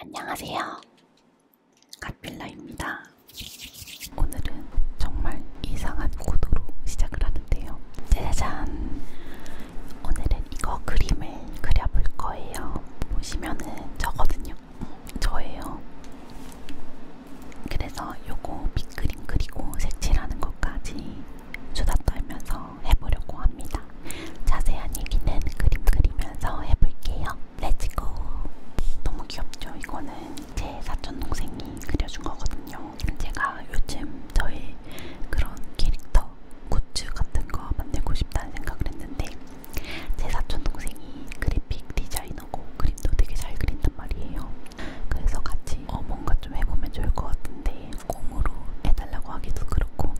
안녕하세요. 카필라입니다. 오늘은 정말 이상한 구도로 시작을 하는데요. 짜잔! 오늘은 이거 그림을 그려볼 거예요. 보시면은 저거든요. 음, 저예요. 그래서 요거 밑그림 그리고 색칠하는 것까지 수다 떨면서 해보려고 합니다. 자세한 얘기는 그림 그리면서 해볼게요. 렛츠고! 너무 귀엽죠? 이거는 제 사촌동생이 그려준 거거든요. 제가 요즘 저의 그런 캐릭터, 굿즈 같은 거 만들고 싶다는 생각을 했는데 제 사촌동생이 그래픽 디자이너고 그림도 되게 잘 그린단 말이에요. 그래서 같이 어 뭔가 좀 해보면 좋을 것 같은데 공으로 해달라고 하기도 그렇고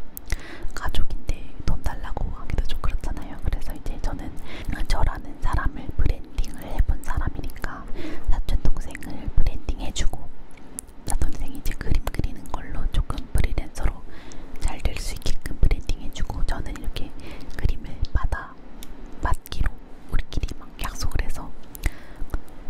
가족인데 돈 달라고 하기도 좀 그렇잖아요. 그래서 이제 저는 저라는 사람을 브랜딩을 해본 사람이니까 사촌 동생을 브랜딩해주고 사촌동생이 이제 그림 그리는 걸로 조금 프리랜서로 잘 될 수 있게끔 브랜딩해주고 저는 이렇게 그림을 받아 맡기로 우리끼리 막 약속을 해서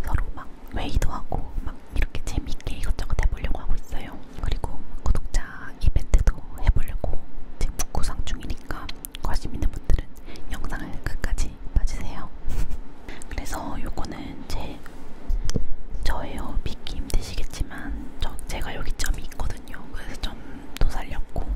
서로 막 웨이도 하고 막 이렇게 재밌게 이것저것 해보려고 하고 있어요. 그리고 구독자 이벤트도 해보려고 지금 구상 중이니까 관심 있는 분들은 영상을 끝까지 봐주세요. 그래서 요거는 제 저예요. 믿기 힘드시겠지만 저, 제가 여기 점이 있거든요. 그래서 점도 살렸고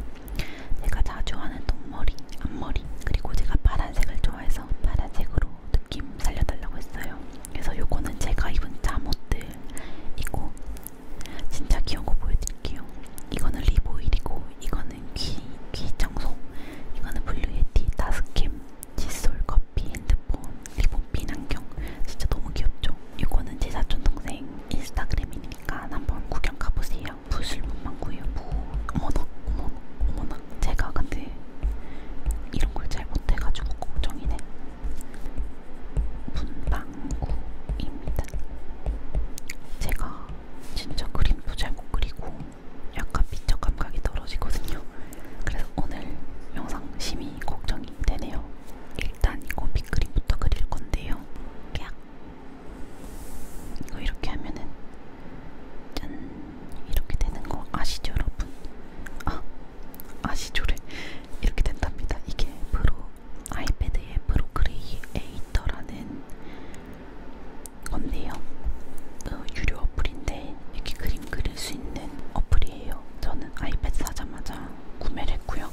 제가 자주 하는 동머리, 앞머리 그리고 제가 파란색을 좋아해서 파란색으로 느낌 살려달라고 했어요. 그래서 요거는 제가 입은 잠옷들 이고 진짜 귀여운 거 보여드릴게요. 이거는 리보일이고 이거는 귀, 귀 청소 이거는 블루예티, 다스캠, 칫솔, 커피, 핸드폰, 리본핀 안경 진짜 너무 귀엽죠? 이거는 제 사촌동생 인스타그램이니까 한번 구경 가보세요. 부술문망구예요. 무... 어머나 어머나 어머나 제가 근데 이런 걸 잘 못해가지고 걱정이네. 문방구입니다. 제가 진짜 그림도 잘못 그리고 약간 미적 감각이 떨어지거든요. 그래서 오늘 영상 심히 걱정이 되네요. 일단 이거 밑그림부터 그릴 건데요. 깍. 이거 이렇게 하면은 짠 이렇게 되는 거 아시죠, 여러분? 아 아시조래 이렇게 된답니다. 이게 프로 아이패드의 프로크리에이터라는 건데요. 어, 유료 어플인데 이렇게 그림 그릴 수 있는 어플이에요. 저는 아이패드 사자마자 구매를 했고요.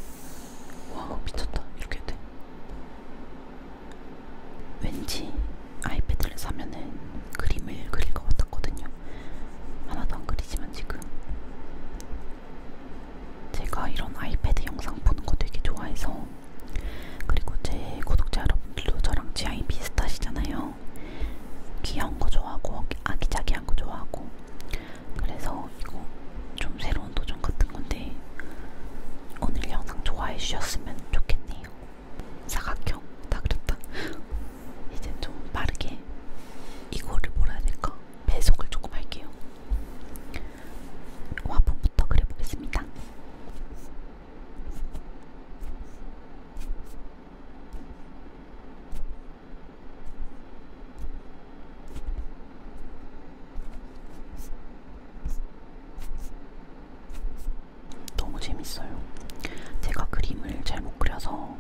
와 미쳤다 이렇게 돼. 왠지 아이패드를 사면은 그림을 그릴 것 같았거든요. 하나도 안 그리지만 지금 제가 이런 아이패드 영상 보는 거 되게 좋아해서 그리고 제 구독자 여러분들도 저랑 취향이 비슷하시잖아요. 귀여운 거 좋아하고 아기자기한 거 좋아하고 그래서 이거 좀 새로운 도전 같은 건데 오늘 영상 좋아해 주셨으면 좋겠네요. 사각형 다 그렸다. 이제 좀 빠르게 이거를 뭐라 해야 될까? 배속을 조금 할게요. 화분부터 그려보겠습니다. 너무 재밌어요. 제가 그림을 잘 못 그려서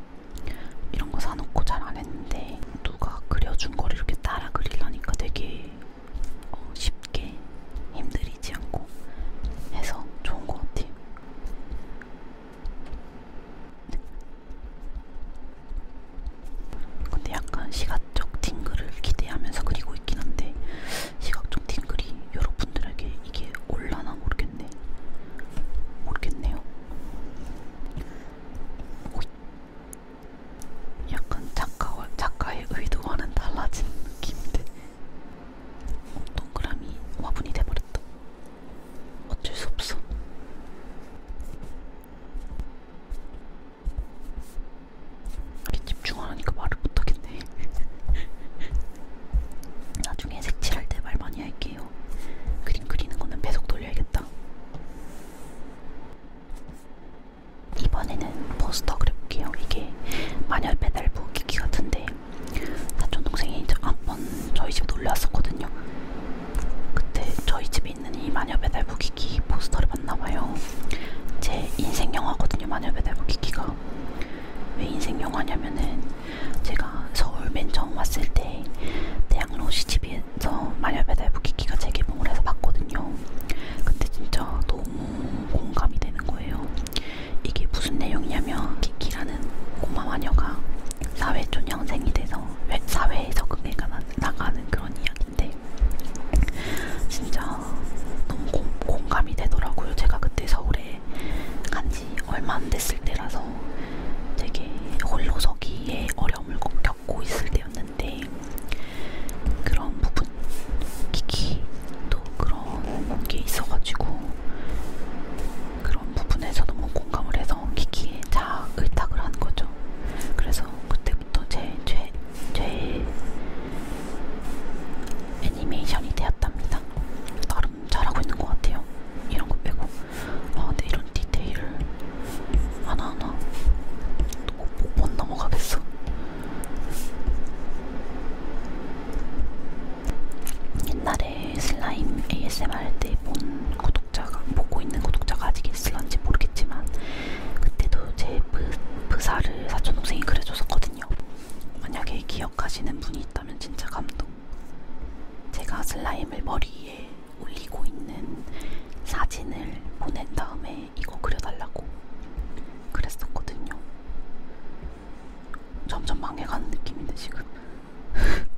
이런 거 사놓고 잘 안 했는데 누가 그려준 걸 이렇게 따라 그리려니까 되게 어, 쉽게 힘들이지 않고 해서 좋은 것 같아요. 근데 약간 시각적 팅글을 기대하면서 그리고 있긴 한데 시각적 팅글이 여러분들에게 이게 올라나 모르겠네. 모르겠네요. 오이. 약간 작가와 작가의 의도와는 달라진 느낌인데 어, 동그라미 화분이 돼버렸다. 어쩔 수 없어. 이렇게 집중하니까 말을 못하겠네. 나중에 색칠할 때 말 많이 할게요. 그림 그리는 거는 배속 돌려야겠다. 이번에는 포스터 그려볼게요. 이게 마녀 배달부 기기 같은데 사촌 동생이 한번 저희 집 놀러 왔었거든요. 그때 저희 집에 있는 이 마녀 배달부 기기 포스터를 봤나봐요. 제 인생 영화거든요. 마녀 배달부 기기가 왜 인생 영화냐면은 제가 서울 맨 처음 왔을 때 대학로 시집에서 마녀 배달 부키키가 재개봉을 해서 봤거든요. 근데 진짜 너무 공감이 되는 거예요. 이게 무슨 내용이냐면 키키라는 꼬마 마녀가 사회초년생이 돼서 사회에 적응해 나가는 그런 이야기인데 진짜 너무 공, 공감이 되더라고요. 제가 그때 서울에 이제 간지 얼마 안 됐을 때라서 되게 홀로 서기에 어려움을 겪고 있을 때였는데 그런 부분, 기기 또 그런 게 있어가지고 그런 부분에서 너무 공감을 해서 기기에 다 의탁을 한 거죠. 그래서 그때부터 제, 제, 제 애니메이션이 되었답니다. 나름 잘하고 있는 것 같아요. 이런 거 빼고. 아, 근데 이런 디테일 하나하나 못 넘어가겠어. 옛날에 슬라임 ASMR 할때본 구독자가, 보고 있는 구독자가 아직 있을런지 모르겠지만, 그때도 제 부, 부사를 사촌동생이 그려줬었거든요. 만약에 기억하시는 분이 슬라임이 있다면 진짜 감동. 제가 슬라임을 머리에 올리고 있는 사진을 보낸 다음에 이거 그려달라고 그랬었거든요. 점점 망해가는 느낌인데 지금.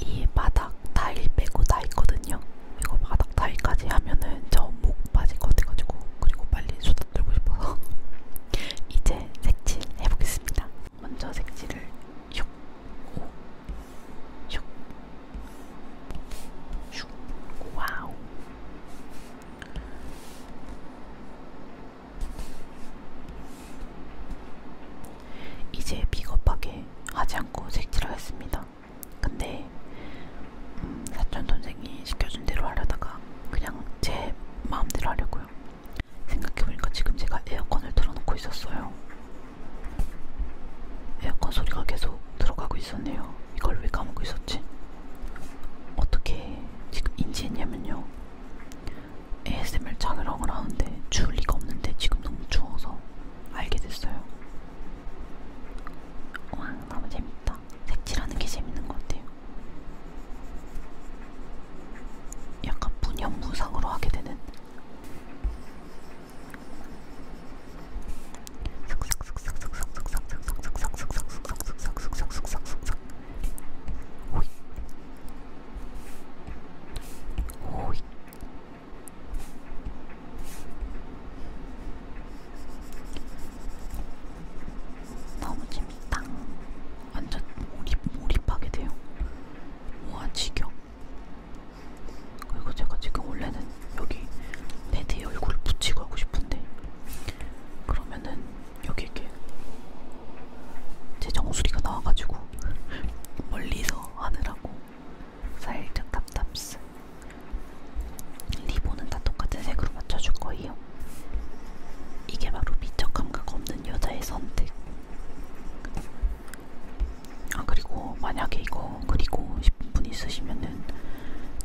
이 바닥 타일 빼고 다 있거든요. 이거 바닥 타일까지 하면은 저 목 빠질 것 같아가지고 그리고 빨리 수다 떨고 싶어서 이제 색칠 해보겠습니다. 먼저 색칠을 슉, 오, 슉, 와우. 이제 비겁하게 하지 않고 색칠하겠습니다. 근데 음, 사촌 선생이 시켜준 대로 하려다가 그냥 제 마음대로 하려고요. 생각해보니까 지금 제가 에어컨을 틀어놓고 있었어요. 에어컨 소리가 계속 들어가고 있었네요. 아, 이걸 왜 까먹고 있었지? 어떻게 지금 인지했냐면요. ASMR 촬영을 하는데 추울 리가 없는데 지금 너무 추워서 알게 됐어요. 와, 너무 재밌다. 색칠하는 게 재밌는 것 같아요. 약간 분연무상으로 하게 되는 너무 재밌다. 완전 몰입, 몰입하게 돼요. 와, 지겨. 그리고 제가 지금 원래는 여기 패드에 얼굴을 붙이고 하고 싶은데 그러면은 여기 이렇게 제 정수리가 나와가지고 멀리서 하느라고 살짝 답답스 리본은 다 똑같은 색으로 맞춰줄 거예요. 이게 바로 미적 감각 없는 여자의 선택. 아 그리고 만약에 이거 그리고 싶은 분 있으시면은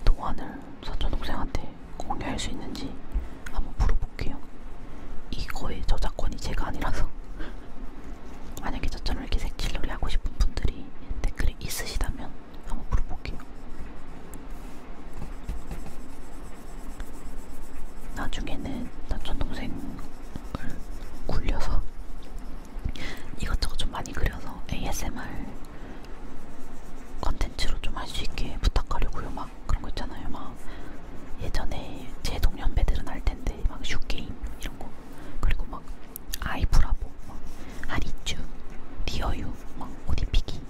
도안을 사촌 동생한테 공유할 수 있는지 한번 물어볼게요. 이거의 저작권이 제가 아니라서 만약에 저처럼 이렇게 색칠놀이 하고 싶은 분들이 댓글에 있으시다면 한번 물어볼게요. 나중에는 사촌 동생을 굴려서 이것저것 좀 많이 그려서 ASMR 컨텐츠로 좀 할 수 있게 부탁하려고요. 막 그런 거 있잖아요. 막 예전에 제 동년배들은 알 텐데 막 슈게임 이런 거 그리고 막 아이브라보, 막 하리쥬, 리어유, 막 옷입히기,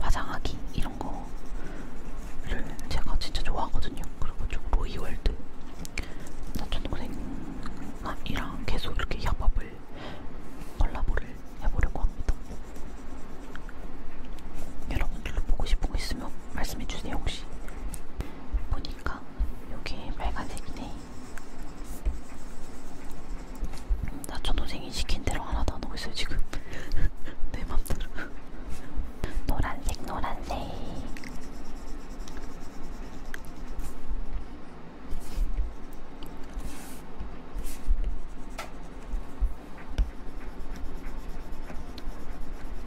화장하기 이런 거를 제가 진짜 좋아하거든요. 그리고 좀 로이월드, 나전동생 이랑 계속 이렇게 협업을 콜라보를 해보려고 합니다. 여러분들도 보고 싶은 거 있으면 말씀해주세요 혹시. 보니까 여기 빨간색이네. 나 전동생이 시킨 대로 하나도 안 하고 있어요 지금. 내 맘대로. 노란색 노란색.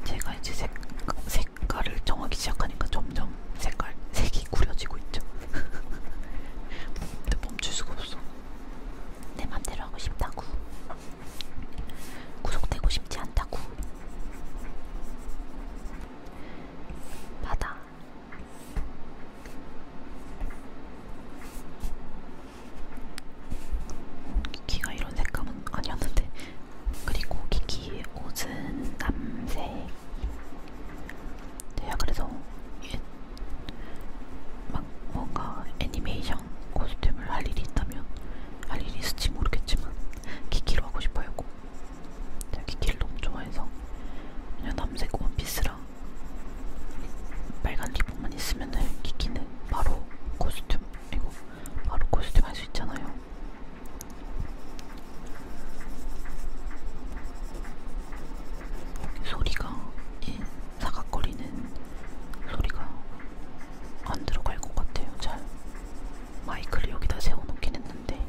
제가 이제 색, 색깔을 정하기 시작하니까 점점 색깔 색이 구려지고 있죠. 근데 멈출 수가 없어. 내 맘대로 하고 싶다고. 구속되고 싶지 않다고. 바다 키키가 이런 색감은 아니었는데 그리고 키키의 옷은 남색 제가 그래서 막 뭔가 애니메이션 코스튬을 할 일이 있다면 할 일이 있을지 모르겠지만 키키로 하고 싶어요 꼭 자기 길 너무 좋아해서 그냥 남색 원피스랑 빨간 리본만 있으면은 키키는 바로 코스튬 이거 바로 코스튬 할 수 있잖아요. 소리가 이 사각거리는 소리가 안 들어갈 것 같아요. 잘 마이크를 여기다 세워놓긴 했는데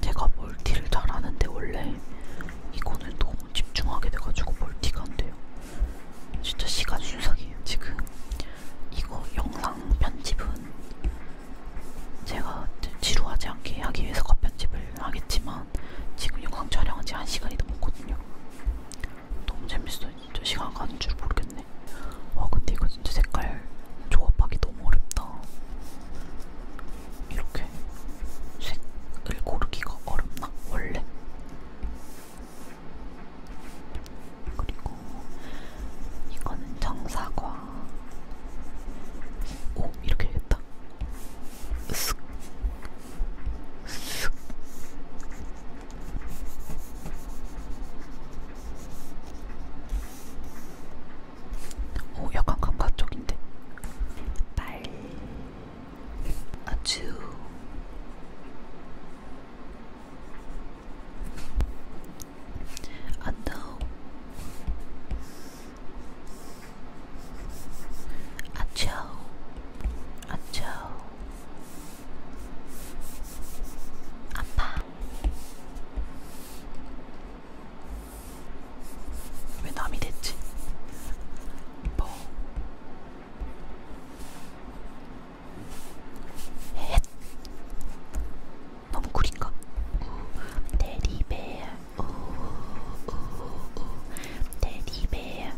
제가 멀티를 잘하는데 원래 이거는 너무 집중하게 돼가지고 멀티가 안 돼요. 진짜 시간 순삭이에요 지금. 이거 영상 편집은 제가 지루하지 않게 하기 위해서 컷 편집을 하겠지만 하지만 지금 영상 촬영한 지 한 시간이 넘었거든요. 너무 재밌어요. 진짜 시간 가는 줄 모르겠네. 와 근데 이거 진짜 색깔 조합하기 너무 어렵다. 이렇게 색을 고르기가 어렵나 원래? 그리고 이거는 정사과. 오 이렇게 되겠다. 습니다. 습, 습. 오, 약간 감각적인데. 빨, 아주. I know. 아초 아초 아파 왜 남이 됐지? 뭐 헷. 너무 구린가? 우, 음, 데리베어 테디베어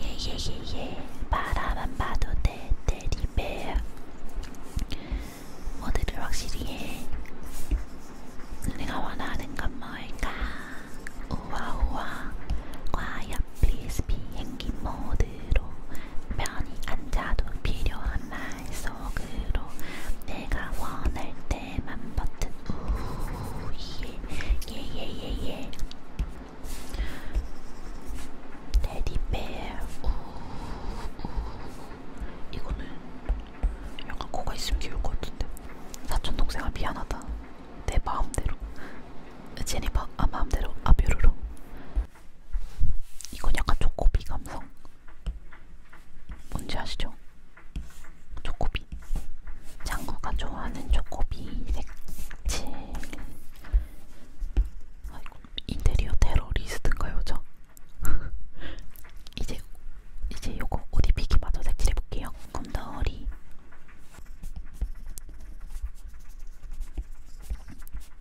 예예예예 예, 예. 바라만 봐도 돼 테디베어 모두를 확실히 해 내가 원하는 건 뭘까 우와우와 과연 플리스 비행기 모드로 편히 앉아도 필요한 말말 속으로 내가 원할 때만 버튼 우예 예 예예예 테디베어 우우 이거는 약간 코가 있으면 귀여울 것 같은데 사촌 동생아 미안하다 내 마음대로 제니퍼 아 마음대로 아뷰르로 이건 약간 초코비 감성 뭔지 아시죠? 초코비. 장구가 좋아하는 초코비 색칠. 아이고, 인테리어 테러리스트인가요, 저? 이제 이제 요거 옷 입히기 마저 색칠해 볼게요. 검더리.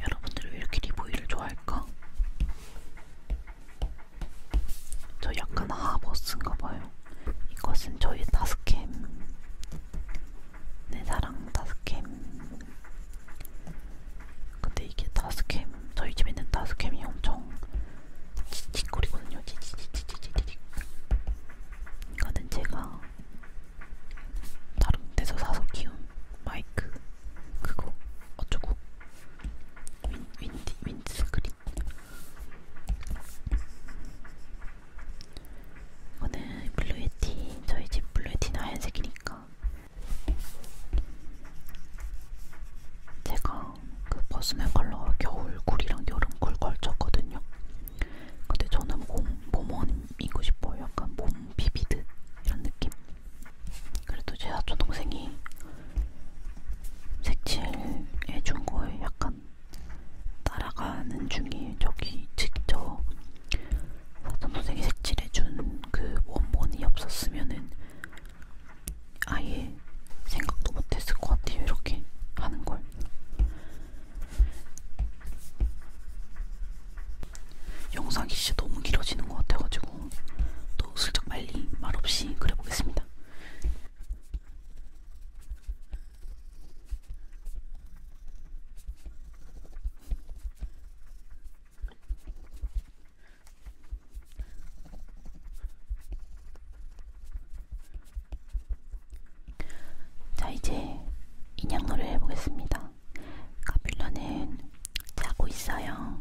여러분들 왜 이렇게 리보이를 좋아할까? 저 약간 하버스인가봐요. 이것은 저희 다스캠 내 사랑 다스캠 근데 이게 다스캠 저희 집에 있는 다스캠이 엄청 찌찌거리거든요. 찌찌찌찌찌찌 이거는 제가 다른 데서 사서 키운 마이크 그거 어쩌고 윈, 윈디, 윈스크린 이거는 블루에티 저희집 블루에티는 하얀색이니까 제가 그 버스맨 컬러가 겨울 굴이랑 여름 굴 걸쳤거든요 근데 저는 몸, 몸원이고 싶어요. 약간 몸 비비드 이런 느낌. 그래도 제 사촌 동생이 색칠해 준 거에 약간 따라가는 중이에요. 저기 직접 사촌 동생이 색칠해 준 그 원본이 없었으면은 아예 생각도 못했을 것 같아요. 이렇게 하는 걸. 영상이 진짜 너무 길어지는 것 같아가지고 또 슬쩍 빨리 말없이 그려보겠습니다. 자, 이제 인형놀이를 해보겠습니다. 카필러는 자고 있어요.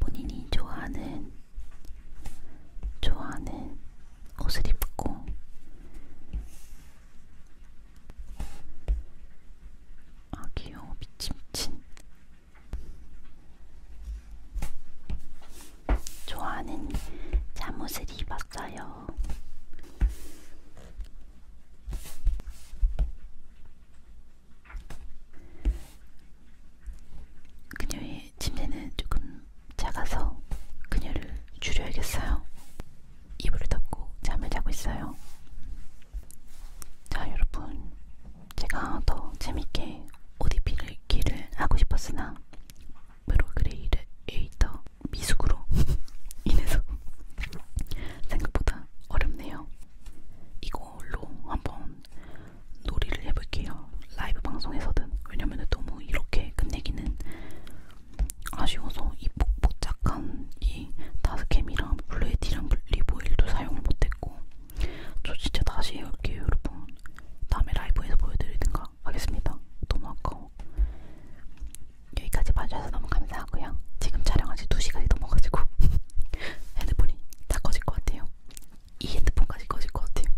본인이 좋아하는 좋아하는 옷을 입고 아 귀여워 미친친 좋아하는 잠옷을 입어서 먹었어요. 그녀의 침대는 조금 작아서 그녀를 줄여야겠어요. 이불을 덮고 잠을 자고 있어요. 자, 여러분. 제가 더 재밌게 ODP를 기를 하고 싶었으나, 프로그레이드 에이터 미숙으로 인해서 생각보다 어렵네요. 이걸로 한번 놀이를 해볼게요. 라이브 방송에서든 왜냐면 너무 이렇게 끝내기는 아쉬워서 이 복복작한 이 다스캠이랑 블루에디랑 리보일도 사용을 못했고 저 진짜 다시 해볼게요 여러분. 다음에 라이브에서 보여드리든가 하겠습니다. 너무 아까워. 여기까지 봐주셔서 너무 감사하고요. 지금 촬영한 지 2시간이 넘어가지고 핸드폰이 다 꺼질 것 같아요. 이 핸드폰까지 꺼질 것 같아요.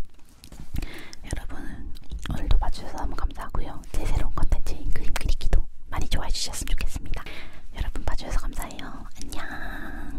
여러분 오늘도 봐주셔서 너무 감사하고요. 제 새로운 컨텐츠인 그림 그리기도 많이 좋아해 주셨으면 좋겠습니다. 여러분 봐주셔서 감사해요. 안녕.